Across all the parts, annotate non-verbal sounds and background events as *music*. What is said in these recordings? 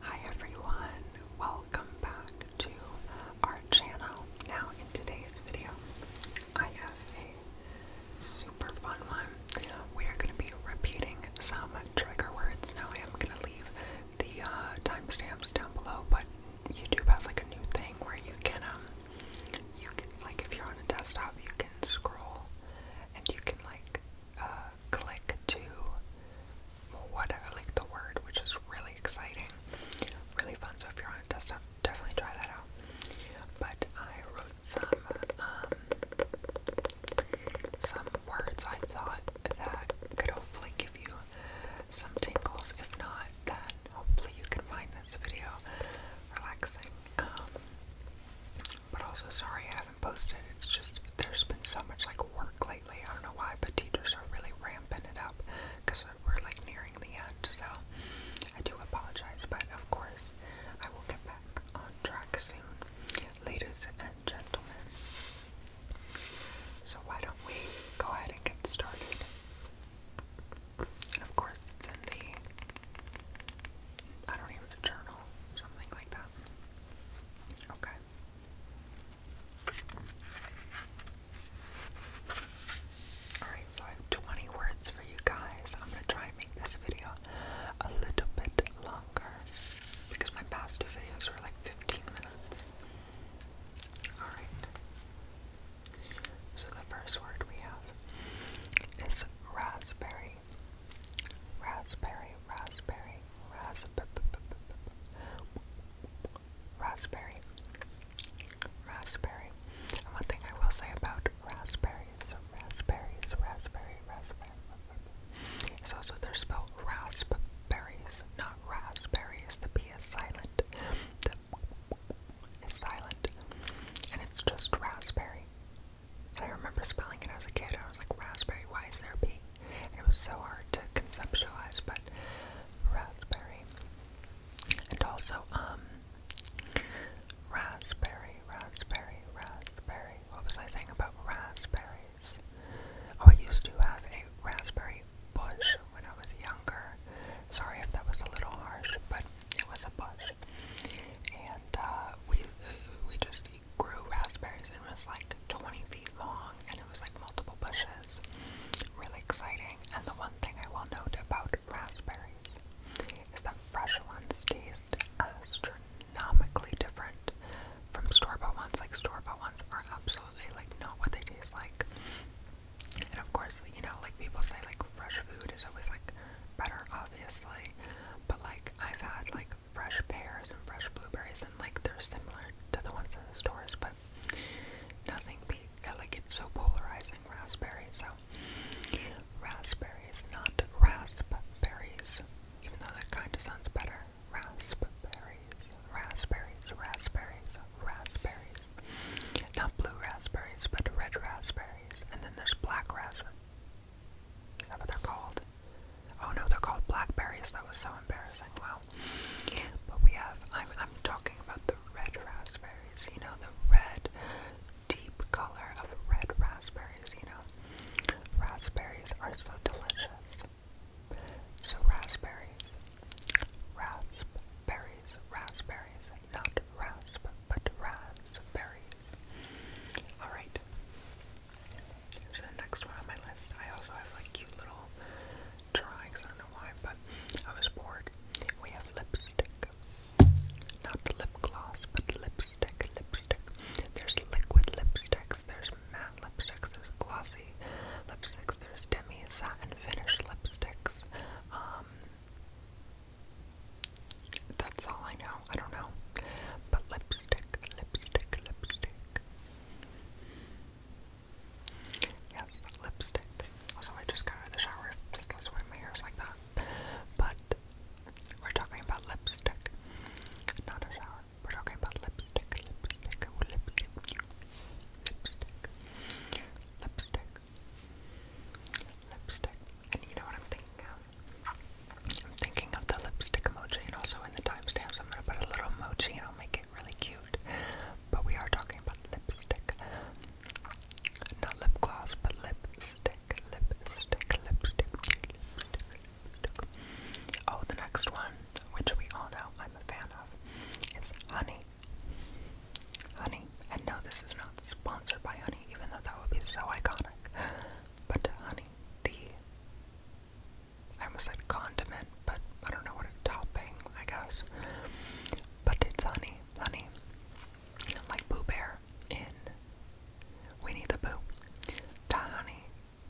Hi everyone, welcome back to our channel. Now in today's video, I have a super fun one. We are going to be repeating some trigger words. Now I am going to leave the uh, timestamps down below, but YouTube has like a new thing where you can, um, you can, like if you're on a desktop, you can scroll and you can like uh, click to what like the word, which is really exciting, really fun. So if you're on a desktop, definitely try that out. But I wrote some um, some words I thought that could hopefully give you some tingles. If not, then hopefully you can find this video relaxing. Um, but also, sorry posted. It's just there's been so much like work lately. I don't know why, but teachers are really ramping it up because we're like nearing the end. So I do apologize, but of course I will get back on track soon, ladies and gentlemen. So why don't we go ahead and get started? And of course, it's in the I don't even a journal, something like that. Okay. Alright, so I have 20 words for you guys. I'm gonna try and make this video a little bit longer because my past two videos were like 15 minutes. Alright. So the first word we have is raspberry. Raspberry, raspberry, raspberry, raspberry, raspberry. And one thing I will say about raspberries, raspberries, raspberry, raspberry, is also they're spelled raspberries, not raspberries. The P is silent. The is silent, and it's just raspberry. And I remember spelling it as a kid. I was like, raspberry. Why is there a P? It was so hard to conceptualize, but raspberry. And also, um, raspberry, raspberry, raspberry. What was I saying about raspberries? Oh, I used to have a raspberry bush when I was younger. Sorry if that was a little harsh, but it was a bush. And, uh, we, we just actually grew raspberries and was like 20 feet long and it was like multiple bushes. Really exciting. And the one thing I will note about raspberries is that fresh ones taste astronomically different from store-bought ones. Like store-bought ones are absolutely like not what they taste like. And of course, you know, like people say like fresh food is always like better obviously. But like I've had like fresh pears and fresh blueberries, and like they're similar to the ones in the stores, but nothing beat. Uh, like it's so polarizing, raspberry. So raspberries, not raspberries, even though that kind of sounds better. Raspberries, raspberries, raspberries, raspberries. Not blue raspberries, but red raspberries, and then there's black raspberries. Is that what they're called? Oh no, they're called blackberries. That was so embarrassing. Wow. But we have. I'm talking about the red raspberries. You know the red, deep color of red raspberries. You know, raspberries are so delicious. So raspberries, raspberries, raspberries, not rasp, but raspberries. All right. So the next one on my list, I also have like cute little drawings. I don't know why, but I was bored. We have lipstick, not lip gloss, but lipstick, lipstick. There's liquid lipsticks, there's matte lipsticks, there's glossy lipsticks, there's demi satin finish lipsticks. Um, that's all I know. I don't know, but lipstick, lipstick, lipstick. Yes, lipstick. Also, I just got out of the shower. Just that's why my hair's like that. But we're talking about lipstick, not a shower. We're talking about lipstick, lipstick, oh, lipstick, lipstick, lipstick, lipstick. And you know what I'm thinking of? I'm thinking of the lipstick emoji, and also in the timestamps, I'm gonna put a little emoji, and I'll make it really cute. But we are talking about lipstick, not lip gloss, but lipstick, lipstick, lipstick, lipstick. lipstick. Oh, the next one, which we all know I'm a fan of, is Honey. Honey, and no, this is not sponsored by Honey, even though that would be so iconic. But Honey, the I almost said condiment, but I don't know what a topping, I guess. But it's honey, honey. Like Boo Bear in Winnie the Pooh. That honey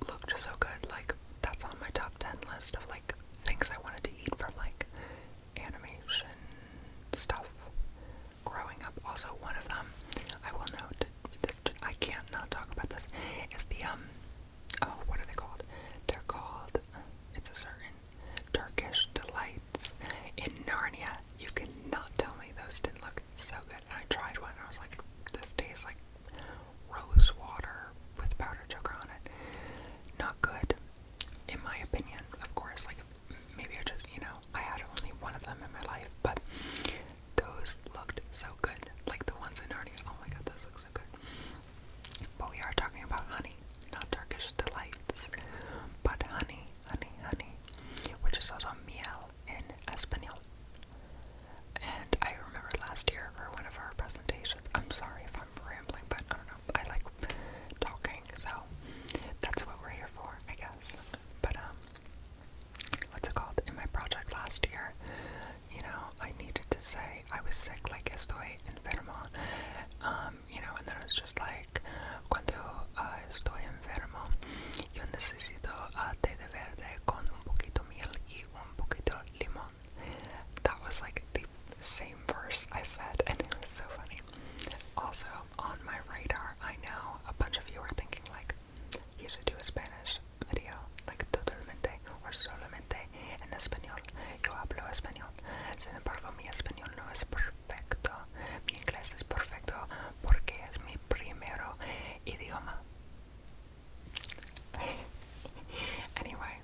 looked so good. Like, that's on my top 10 list of like things I wanted to eat from like animation stuff growing up. Also, one of them, I will note, that I can't not talk about this, is the, um, oh, what are they called? They're called, it's a certain Turkish delights in Narnia. You cannot tell me those didn't look so good. I tried one I was like, this tastes like rose water with powdered sugar on it. Not good, in my opinion, of course. Like, maybe I just, you know, I had only one of them in my life, but those looked so good. Like the ones in Narnia. Oh my god, those look so good. But we are talking about honey, not Turkish delights. But honey, honey, honey. Which is also miel in Espanol. And I remember last year for one of our presentations. I'm sorry if I'm rambling, but I don't know. I like talking, so that's what we're here for, I guess. But um what's it called? In my project last year, you know, I needed to say I was sick, like estoy enfermo. Um, you know, and then it was just like, cuando uh, estoy enfermo, yo necesito uh, té de verde con un poquito miel y un poquito limón. That was like the same verse I said, and it was so funny. Also, on my radar, I know a bunch of you are thinking, like, you should do a Spanish video, like totalmente or solamente en español. Yo hablo español. Sin embargo, mi español no es perfecto. Mi inglés es perfecto porque es mi primero idioma. *laughs* anyway,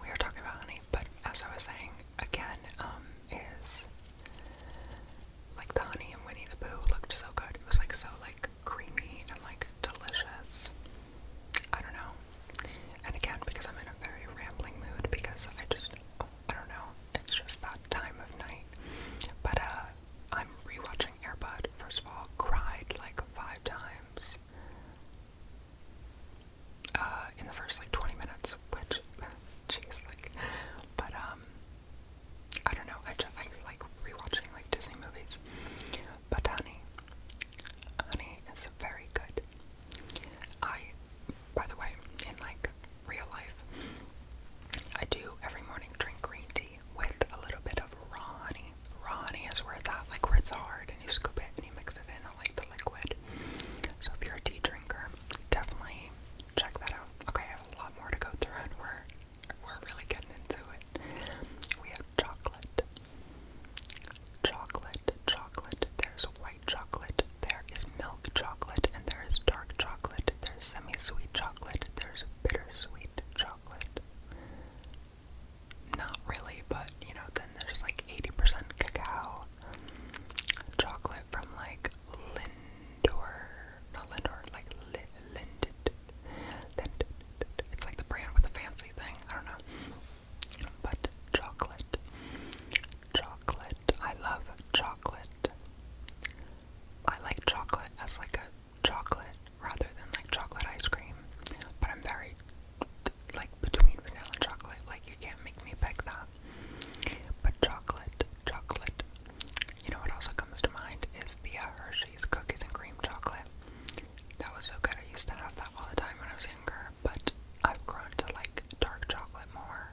we were talking about honey, but as I was saying, again, um, is like the honey and Winnie the Pooh looked so good. It was like so like creamy and like delicious. I don't know. And again, because I'm in a very rambling mood, because I just, I don't know, it's just that time of night. But uh, I'm rewatching Airbud. First of all, cried like five times uh, in the first like 20 minutes, which, *laughs* jeez, like, but um, I don't know. I just I like rewatching like Disney movies. But honey, honey is very good. I, by the way, in like real life, I do every morning drink green tea with a little bit of raw honey. Raw honey is where that. at, like where hard, and you scoop it and you mix it in, I like the liquid. So if you're a tea drinker, definitely check that out. Okay, I have a lot more to go through, and we're we're really getting into it. We have chocolate. Chocolate, chocolate. There's white chocolate, there is milk chocolate, and there is dark chocolate, there's semi sweet chocolate, there's bittersweet chocolate. Not really, but you know, then there's like 80% cacao. Chocolate from like Lindor not Lindor, like Lind, It's like the brand with the fancy thing. I don't know. But chocolate, chocolate. I love chocolate. I like chocolate as like a chocolate rather than like chocolate ice cream. But I'm very like between vanilla and chocolate. Like you can't make me pick that. But chocolate, chocolate. You know what also comes to mind is the uh, Hershey cookies and cream chocolate. That was so good. I used to have that all the time when I was younger, but I've grown to like dark chocolate more.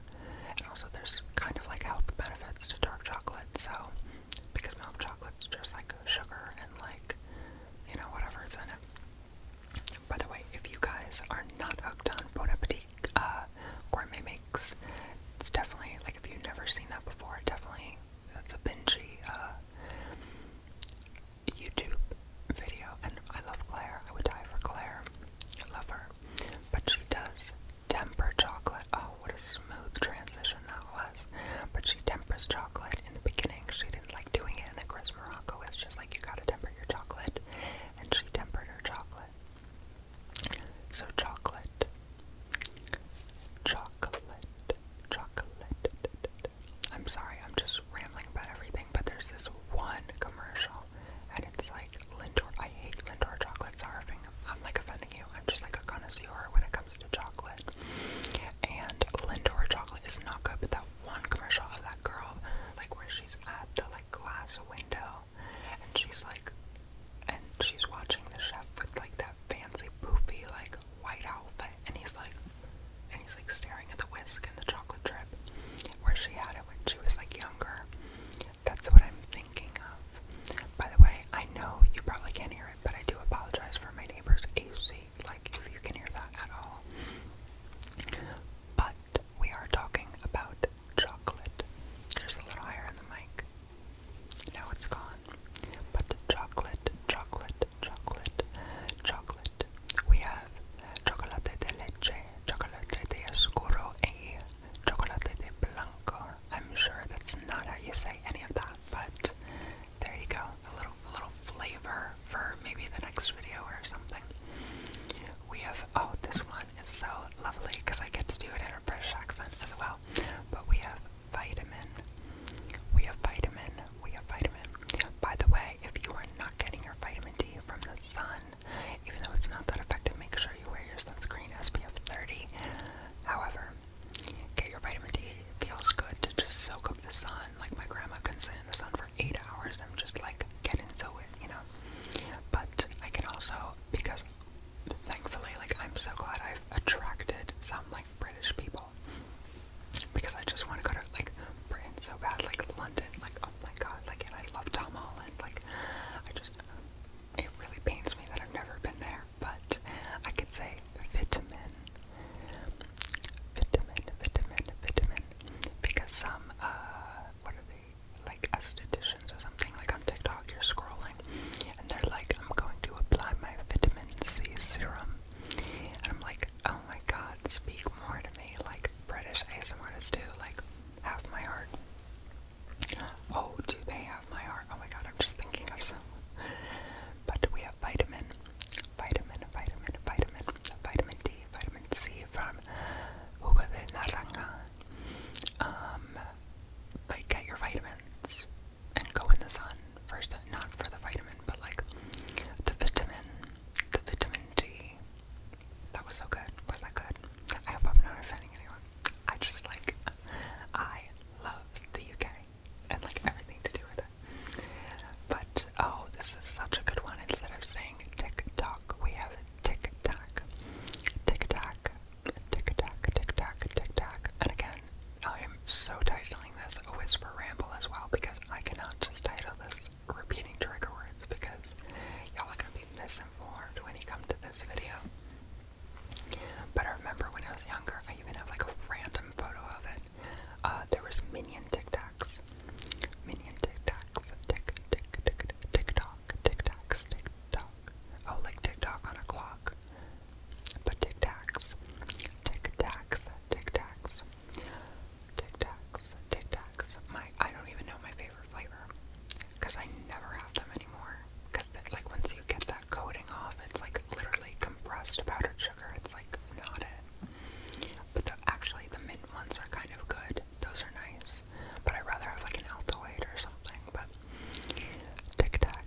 And also, there's kind of like health benefits to dark chocolate, so because milk chocolate's just like sugar and like you know, whatever is in it. By the way, if you guys are not hooked on Bon Appetit uh, Gourmet Mix, it's definitely like if you've never seen that before, definitely that's a Benji uh, YouTube video, and I love Claire. I would die for Claire. I love her, but she does temper chocolate. Oh, what a smooth transition that was! But she tempers chocolate in the beginning. She didn't like doing it, and then Chris Morocco is just like, you gotta temper your chocolate, and she tempered her chocolate. So chocolate Chocolate. Chocolate. I'm sorry, I'm just rambling about everything, but there's this one commercial, and it's like Lindor. I hate Lindor chocolates. scarfing. I'm like offending you. I'm just like a connoisseur when it comes to chocolate. And Lindor chocolate is not good, but that one commercial of that girl, like where she's at the like glass window, and she's like, and she's watching the chef with like that that fancy poofy like white outfit and he's like and he's like staring at the whisk and the chocolate drip where she had it when she was like younger. That's what I'm thinking of. By the way, I know you probably can't hear it, but I do apologize for my neighbor's AC, like if you can hear that at all. But we are talking about chocolate. There's a little higher in the mic. Now it's gone. But chocolate, chocolate, chocolate, chocolate. We have chocolate de leche, chocolate de oscuro, a chocolate de blanco. I'm sure that's not how you say any of that, but there you go. A little, a little flavor for maybe the next video or something. We have, oh, this one is so lovely because I get to do it in a British accent as well. But we have vitamin. We have vitamin. We have vitamin. By the way, if you are not getting your vitamin D from the sun, even though it's not that effective, make sure you wear your sunscreen SPF 30. However, get your vitamin D. It feels good to just soak up the sun. Like my grandma could sit in the sun for eight hours. I'm just like, get into it, you know? But I can also, because thankfully, like, I'm so glad I've attracted some, like, British people because I just want to go to like Britain so bad, like London, like oh my god, like and I love Tom Holland, like I just it really pains me that I've never been there, but I could say vitamin, vitamin, vitamin, vitamin, because some uh, what are they like estheticians or something like on TikTok? You're scrolling and they're like, I'm going to apply my vitamin C serum. And I'm like, oh my god, speak more to me. Like British ASMRs do, like, have my heart. Oh, do they have my heart? Oh my god, I'm just thinking of some. But we have vitamin, vitamin, vitamin, vitamin, vitamin D, vitamin C from Hugo de Um, get your vitamins and go in the sun first, not for the vitamin, but like the vitamin, the vitamin D. That was so good. Was that good? I hope I'm not offending anyone. I just like, I love the UK and like everything to do with it. But oh, this is such a good one. Instead of saying tick tock, we have tick tack, tick tack, tick tack, tick tack, tick tack. And again, I so titling this a whisper ramble as well because I cannot just title this repeating trigger words because y'all are gonna be misinformed when you come to this video. But I remember when I was younger, I even have like a random photo of it. Uh, there was minion tic Minion tic Tick, tick, tick, tick, tock tic-tacs, tic-tock. Oh, like tick on a clock. But tic tacs, tic tacs, tic tacs, tic tacs, tic tacs. My I don't even know my favorite flavor because I never have them anymore. Because like once you get that coating off, it's like literally compressed powdered sugar. It's like not it. But the, actually, the mint ones are kind of good. Those are nice. But I'd rather have like an Altoid or something. But tic tac,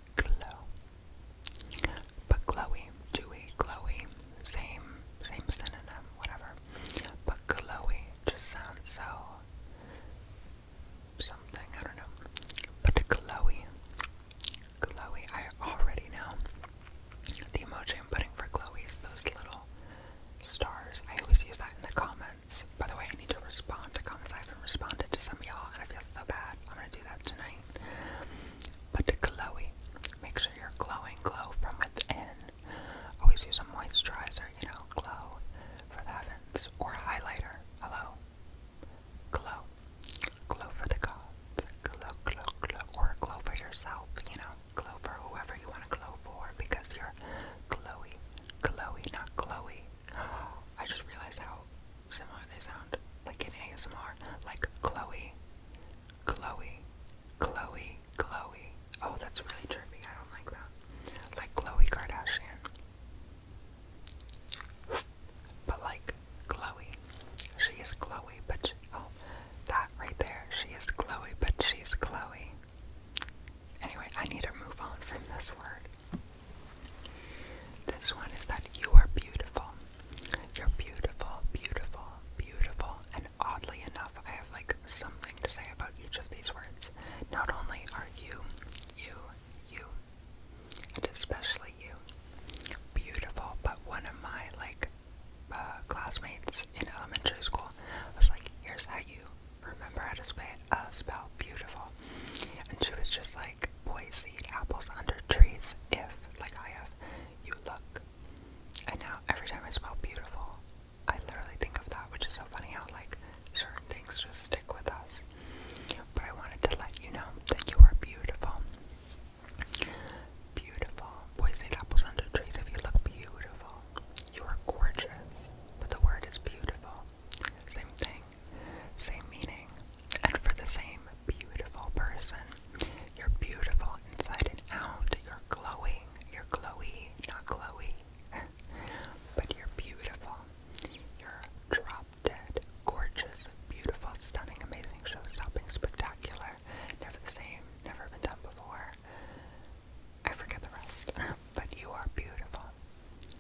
but glowy, dewy, glowy, same, same synonym, whatever. But glowy just sounds so something, I don't know. But glowy, glowy, I already know. The emoji I'm putting for glowy is those little stars. I always use that in the comments. By the way, I need to respond to comments. I haven't responded to some of y'all, and I feel so bad. I'm gonna do that tonight. But to glowy, make sure you're glowing. Glow from within. Always use a moisturizer, you know, glow for the heavens or highlighter. Hello, glow, glow for the gods. Glow, glow, glow, or glow for yourself. You know, glow for whoever you want to glow for because you're glowy, glowy, not glowy. *gasps* I just realized how similar they sound, like in ASMR, like Chloe, Chloe, Chloe, Chloe. Oh, that's really trippy. I don't like that. Like Chloe Kardashian, but like Chloe, she is Chloe, but oh, that right there, she is Chloe, but she's Chloe. Anyway, I need to move on from this word. This one is that you are beautiful. You're beautiful, beautiful, beautiful. And oddly enough, I have like something to say about each of these words. Not only are you, you, you, and especially you, beautiful, but one of my like uh, classmates in elementary school was like, here's how you remember how to uh, spell beautiful. And she was just like, boys eat apples under trees if, like I have, you look. And now every time I smell beautiful, I literally think of that, which is so funny how like certain things just stick with us. But I wanted to let you know that you are beautiful. Beautiful. Boys eat apples under trees if you look beautiful. You are gorgeous. But the word is beautiful. Same thing, same meaning, and for the same beautiful person. You're beautiful inside and out. You're glowing. You're glowy, not glowy. *laughs* but you're beautiful. You're drop dead, gorgeous, beautiful, stunning, amazing, show stopping, spectacular. Never the same, never been done before. I forget the rest, *laughs* but you are beautiful.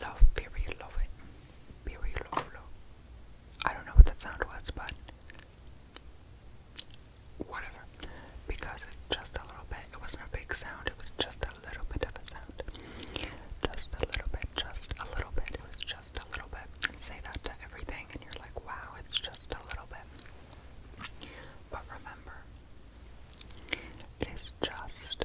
Love, love it. love, love. I don't know what that sound was, but whatever. Because just a little bit, it wasn't a big sound, it was just a little bit of a sound. Just a little bit, just a little bit, it was just a little bit. Say that to everything, and you're like, wow, it's just a little bit. But remember, it is just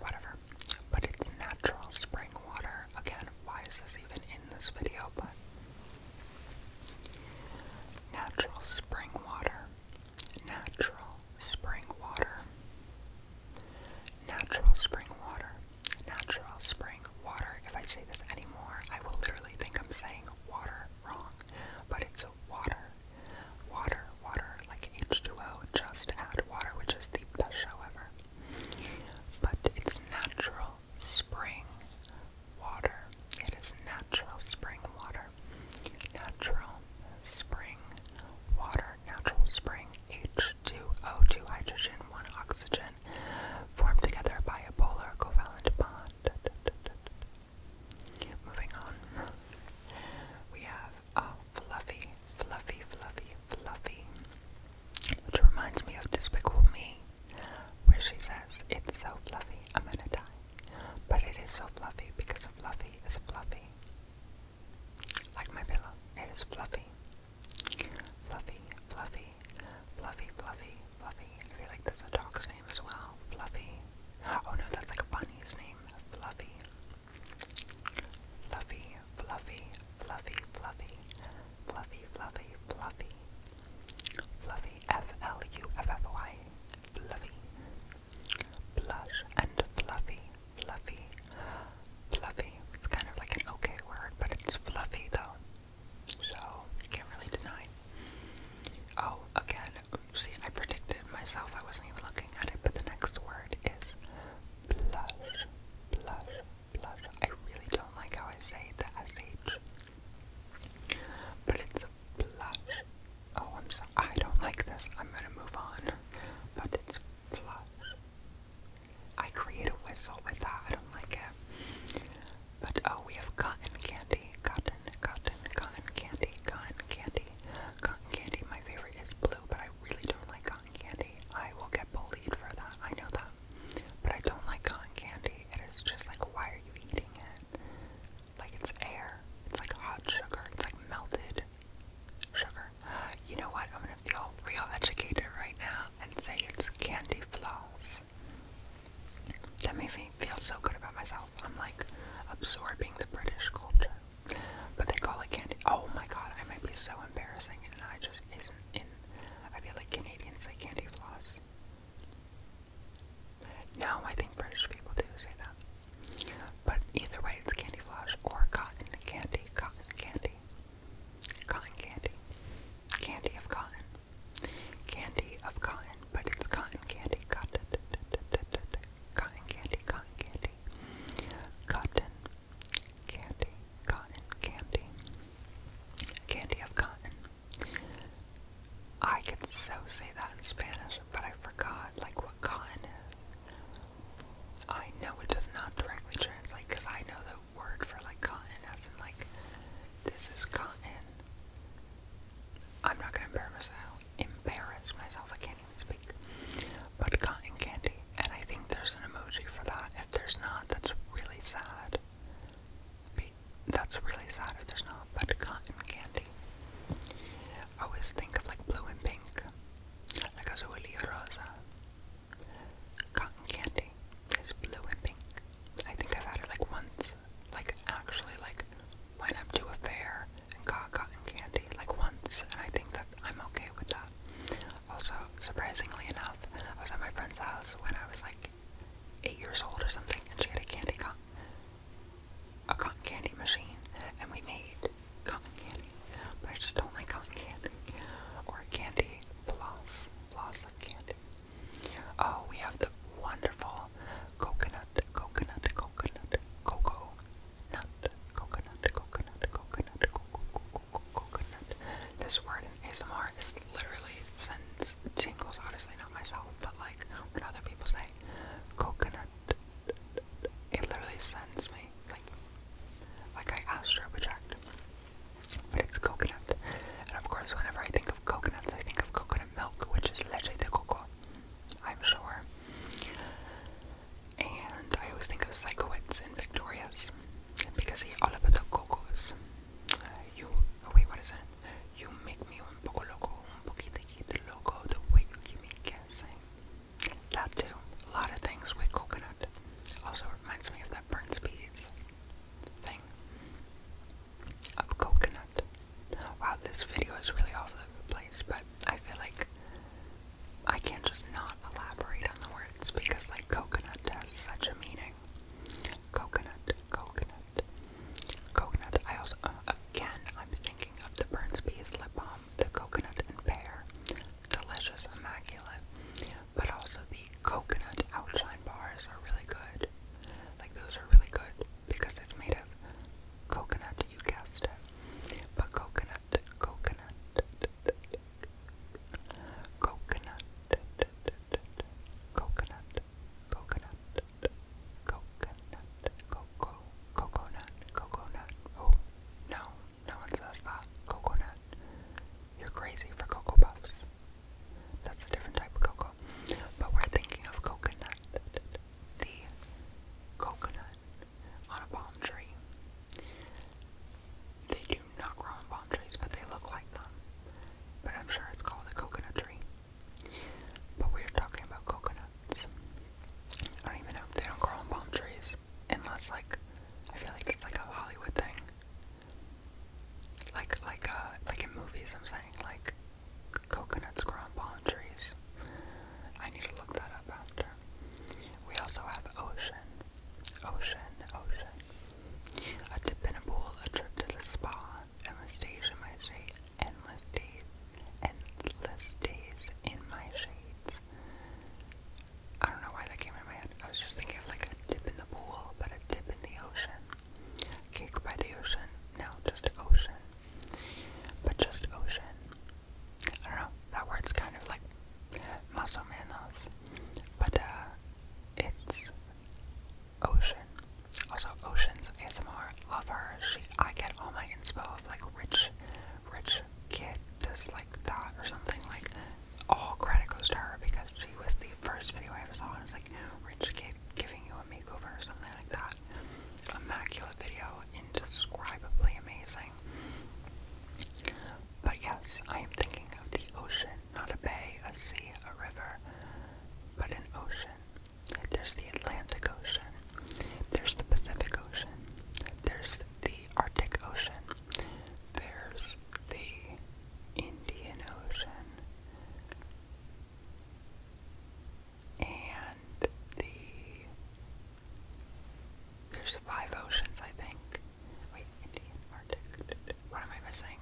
whatever. But it's natural spring water. Again, why is this even in this video? But natural spring water. Natural spring water. Natural spring water. Natural spring water. If I say this anymore, I will literally think I'm saying water wrong. But it's water. Water, water, like H2O, just add water, which is the best show ever. But it's natural spring water. It is natural spring water. Natural spring water. Natural spring H2O, 2 hydrogen, 1 oxygen, formed together by a polar covalent bond. Moving on, we have have fluffy, fluffy, fluffy, fluffy, which reminds me of Despicable Me, where she says, It's so fluffy, I'm gonna die. But it is so fluffy because fluffy is fluffy. Like my pillow, it is fluffy. Fluffy, fluffy, fluffy, fluffy, fluffy. like that's a dog's name as well. Fluffy. Oh no, that's like a bunny's name. Fluffy. Fluffy, fluffy, fluffy, fluffy, fluffy, fluffy, fluffy, fluffy, F-L-U-F-F-Y, fluffy, blush and fluffy, fluffy, fluffy. It's kind of like an okay word, but it's fluffy though, so you can't really deny. Oh, again, see, I predicted myself. I wasn't even looking at it, but the next word is blush, blush, blush. I really don't like how I say the SH. But it's a blush. Oh, I'm sorry. I don't like this. I'm gonna move on. But it's blush. I create a whistle with that. I don't like it. But oh, we have cotton candy. Cotton, cotton, cotton candy, cotton candy. Cotton candy, my favorite is blue, but I really don't like candy, I will get bullied for that. I know that. But I don't like cotton candy. It is just like, why are you eating it? Like, it's air. It's like hot sugar. It's like melted sugar. You know what? I'm gonna feel real educated right now and say it's candy floss. That made me feel so good about myself. I'm like absorbing the British culture. But they call it candy. Oh my god, I might be so embarrassing and I just floss isn't in. I feel like Canadians say candy floss. No, I think British people do say that. But either way, it's candy floss or cotton candy, cotton candy, cotton candy, candy of cotton, candy of cotton, but it's cotton candy, cotton, cotton candy, cotton candy, cotton candy, cotton, candy, candy of cotton. I could so say that in Spanish, but I forgot like what cotton is. I know it does not directly translate because I know the word for like cotton as in like this is cotton. I'm not gonna embarrass myself. Uh, embarrass myself. I can't even speak but cotton candy. And I think there's an emoji for that. If there's not, that's really sad. Be that's really sad if there's not, but cotton candy. I always think of like blue and pink. Like azul y rosa. Cotton candy is blue and pink. I think I've had it like once. Like actually like went up to a fair and got cotton candy like once and I think that I'm okay with that. Also, surprisingly enough, I was at my friend's house when I was like eight years old or something, and she had a candy con a cotton candy machine, and we made cotton candy. But I just don't like cotton candy or candy floss, floss of candy. Oh, we have the wonderful coconut, coconut, coconut, cocoa, nut, coconut, coconut, coconut, coconut, cocoa, cocoa, coconut. This word ASMR is literally sends tingles. honestly, not myself, but like what other people say. Coconut. It literally sends me, like, like I astro project. But it's coconut. And of course, whenever I think of coconuts, I think of coconut milk, which is leche de coco, I'm sure. And I always think of Psychowitz and Victorious because he all about the cocos. You, oh wait, what is it? You make me un poco loco, un poquito loco, the way you keep me guessing. That too, a lot of things with coconut. Also reminds me of that Burns Bees thing of coconut. Wow, this video is really all over the place, but I feel like I can't just not elaborate on the words because, like, coconut has such a meaning. Coconut, coconut, coconut. I also, uh, again, I'm thinking of the Burns Bees lip balm, the coconut and pear, delicious, immaculate. But also the coconut outshine bars are really good. Like, those are really good because it's made of coconut. You guessed it, but coconut, coconut coconut, coconut, coconut, coconut, coco, coconut, coconut. Oh, no, no one says that. Coconut. You're crazy for Cocoa Puffs. That's a different type of cocoa. But we're thinking of coconut. The coconut on a palm tree. They do not grow on palm trees, but they look like them. But I'm sure it's called a coconut tree. But we're talking about coconuts. I don't even know. They don't grow on palm trees. Unless, like, I feel like it's like a Hollywood thing. Like, like, uh, like in movies, I'm saying, like, coconuts grow on palm trees. I need to look that up after. We also have ocean, Ocean, ocean. A dip in a pool, a trip to the spa, endless days in my shade, endless days, endless days in my shades. I don't know why that came in my head. I was just thinking of like a dip in the pool, but a dip in the ocean. Cake by the ocean. No, just ocean. But just ocean. I don't know. That word's kind of like más o But uh, it's Ocean. Also, Ocean's ASMR. Love her. She, I get all my inspo of like rich, rich kid does like that or something. Like all credit goes to her because she was the first video I ever saw. And it was like rich kid giving you a makeover or something like that. Immaculate video, indescribably amazing. But yes, I am thinking of the ocean, not a bay, a sea, a river, but an ocean. There's the Atlantic Ocean, there's the Pacific Ocean, there's the Arctic Ocean, there's the Indian Ocean, and the. There's five oceans, I think. Wait, Indian Arctic. What am I missing?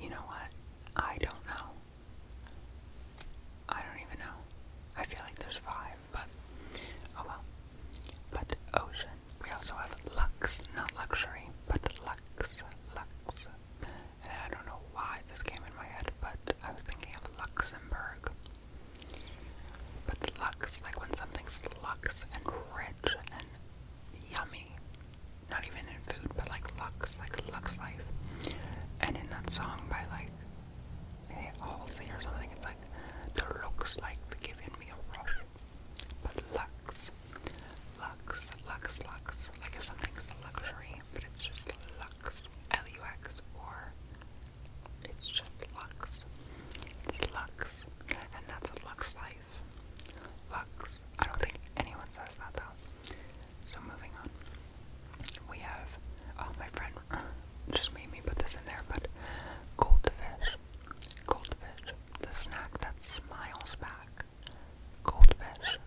You know what? I don't know. I don't even know. I feel like there's five, but oh well. But ocean. We also have Lux, not luxury, but Lux, Lux. And I don't know why this came in my head, but I was thinking of Luxembourg. But luxe, like when something's lux and rich and yummy, not even in food, but like lux, like lux life. And in that song by like eh, Halsey or something, it's like the looks like they're giving me a rush. But luxe, luxe, luxe, luxe, like if something's luxury, but it's just luxe, L-U-X, or it's just Lux. It's Lux. And that's a Lux life. Lux. I don't think anyone says that though. So moving on. We have, oh, my friend *laughs* just made me put this in there, but goldfish. Goldfish. The snack that smiles back. Goldfish.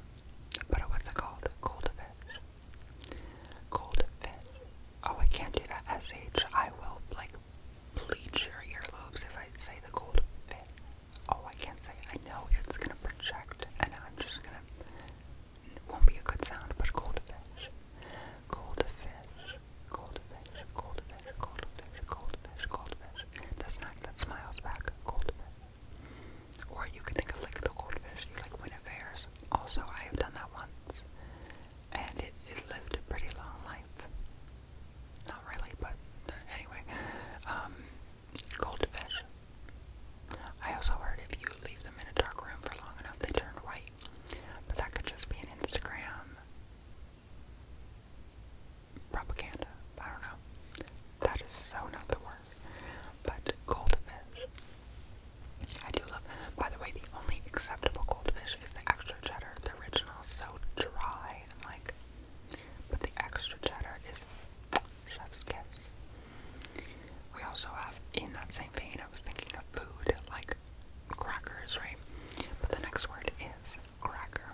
But what's it called? Goldfish. Goldfish. Oh, I can't do that. SH. I will, like, bleach your earlobes if I say the goldfish. Oh, I can't say it. I know it's gonna project, and I'm just gonna. It won't be a good sound, but goldfish. Goldfish. Goldfish. Goldfish. Goldfish. Goldfish. Goldfish. That's not. That smiles back. Goldfish. Or you could think of like the goldfish. You like win a fair also, I have done that once, and it, it lived a pretty long life. Not really, but anyway. Um, goldfish. I also heard if you leave them in a dark room for long enough, they turn white. But that could just be an Instagram propaganda. I don't know. That is so not the word. But goldfish. I do love, by the way, the only acceptable goldfish is the extra cheddar. The original is so dry and like, but the extra cheddar is chef's kiss. We also have, in that same vein, I was thinking of food, like crackers, right? But the next word is cracker,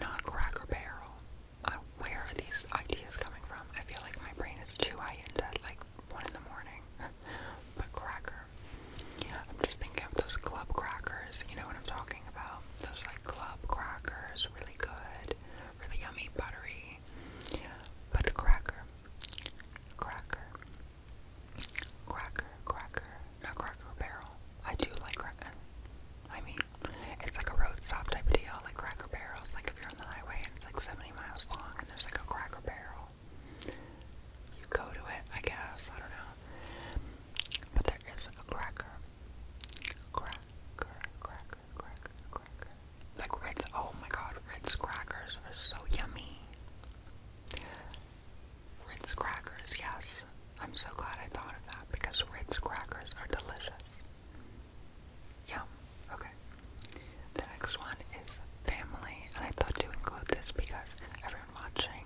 not cracker barrel. Uh, where are these ideas coming from? I feel like my brain is too high into like one in the morning. *laughs* But cracker. I'm just thinking of those club crackers. You know what I'm talking about? Those like club crackers. Really good. Really yummy, buttery. But cracker. Cracker. Cracker. Cracker. Not cracker barrel. I do like cracker. I mean, it's like a road stop type of deal, like Cracker Barrels. Like if you're on the highway and it's like 70 miles long and there's like a Cracker Barrel you go to it, I guess. I don't know. But there is a cracker. Cracker, cracker, cracker, cracker. Like Ritz, oh my god, Ritz crackers are so yummy. Ritz crackers, yes. I'm so glad I thought of that because Ritz crackers are delicious. Yum. Okay. The next one is family, and I thought to include this because everyone watching,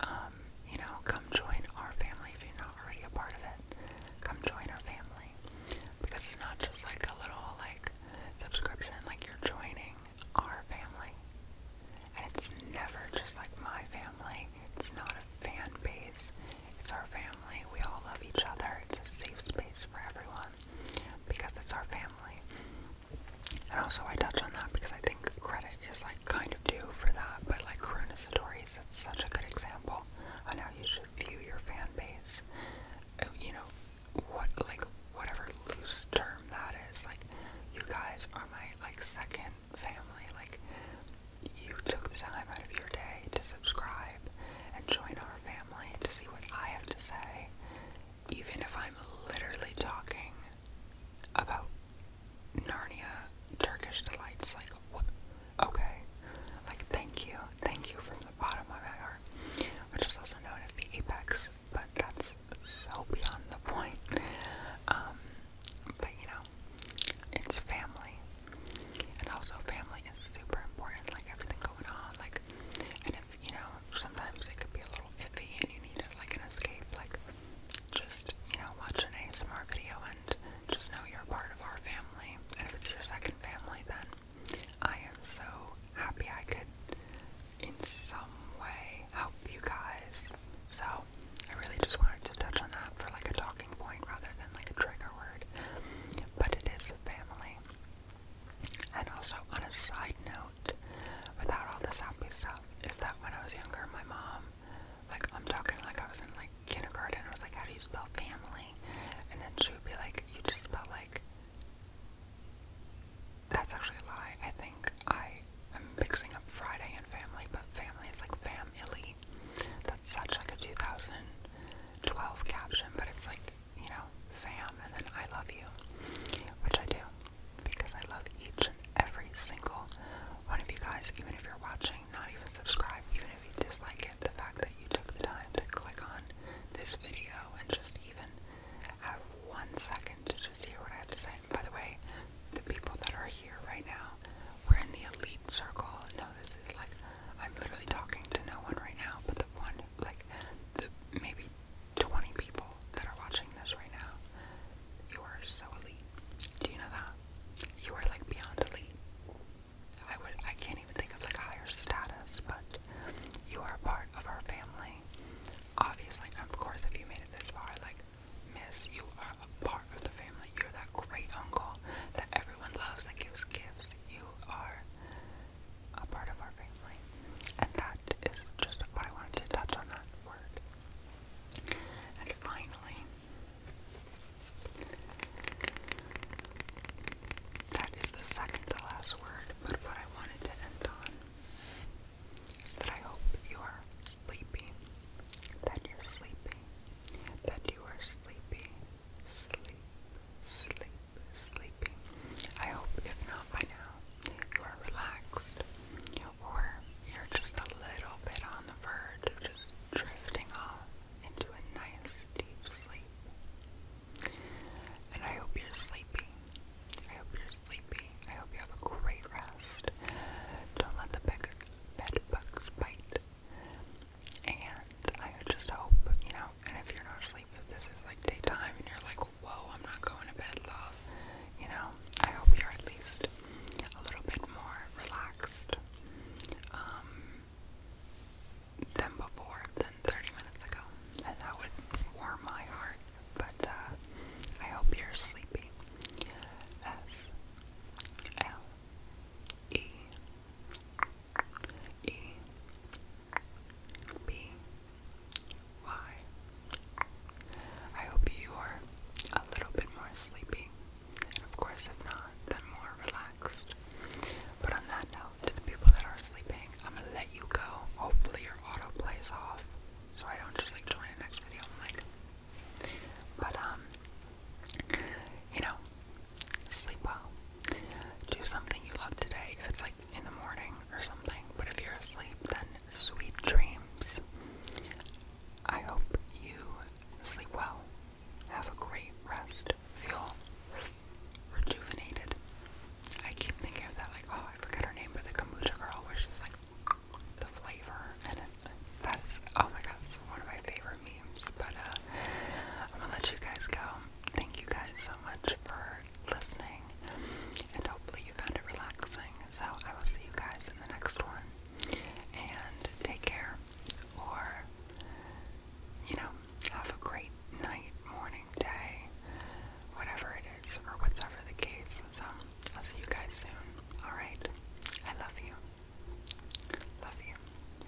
um, you know, come join our family if you're not already a part of it. Come join our family because it's not just like a little like subscription, like you're joining our family. And it's never just like my family. It's not a fan base. It's our family. We all love each other. It's a safe space for everyone because it's our family. And also, I touch on that because I think credit is like kind of due for that, but like Karuna Satori's, it's such a good example on how you should view your fan base. Uh, you know, what like whatever loose term that is, like you guys are my like second family. Like you took the time out of your day to subscribe and join our family to see what I have to say even if I'm literally talking about Narnia Turkish delights, like what? Okay, like thank you, thank you from the bottom of my heart, which is also known as the apex, but that's so beyond the point. Um, but you know, it's family, and also family is super important, like everything going on, like, and if you know, sometimes it could be a little iffy and you need like an escape, like just, you know, watch an ASMR video and just know you're part of our family. And if it's your second family, then I am so happy I could in some way help you guys. So I really just wanted to touch on that for like a talking point rather than like a trigger word. But it is family. And also, on a side note, without all this happy stuff, is that when I was younger, my mom, like, I'm talking like I was in like kindergarten, I was like, how do you spell family? And then she would be like, you just spell like. That's actually a lie. I think I am mixing up Friday and family, but family is like familly. That's such like a 2012 caption, but it's like you know, fam, and then I love you, which I do because I love each and every single one of you guys, even if you're watching, not even subscribe, even if you dislike it, the fact that you took the time to click on this video and just even have one second to just hear what I have to say. by the way, the people that are here right now, we're in the elite circle. No, this is like, I'm literally talking to no one right now, but the one like maybe 20 people that are watching this right now. You are so elite. Do you know that? You are like beyond elite. I would I can't even think of like a higher status, but you are part of our family. Obviously, of course, if you made it this far, like miss, you are a part of the family. You're that great uncle that everyone loves that gives gifts. You are a part of our family. And that is just what I wanted to touch on that word. And finally, that is the second to last word, but what I wanted to end on is that I hope you are sleepy, that you're sleepy, that you are sleepy, sleepy sleep, sleeping. I hope, if not by now, you are relaxed or you're just a little bit on the verge just drifting off into a nice deep sleep. And I hope you're sleepy. I hope you're sleepy. I hope you have a great rest. Don't let the bed bugs bite. And I just hope, you know, and if you're not asleep, if this is like daytime and you're like, whoa, I'm not going to bed, love, you know, I hope you're at least a little bit more relaxed um, than before, than 30 minutes ago. And that would warm my heart. But uh, I hope you're sleepy. S L E E B Y. I hope you are a little bit more sleepy, of course, if not, then more relaxed. But on that note, to the people that are sleeping, I'm gonna let you go. Hopefully, your auto plays off, so I don't just like join the next video. but um, you know, sleep well do something you love today. If it's like in the morning or something, but if you're asleep, then sweet dreams. I hope you sleep well. Have a great rest. Feel rejuvenated. I keep thinking of that, like, oh, I forget her name, but the kombucha girl, where she's like, the flavor, and that's, oh my god, it's one of my favorite memes, but, uh, I'm gonna let you guys go. Thank you guys so much for listening, and hopefully you found it relaxing. So I will see you guys in the next one. And take care, or you know, have a great night, morning, day, whatever it is, or whatever the case. So I'll see you guys soon. All right, I love you. Love you.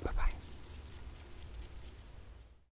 Bye bye.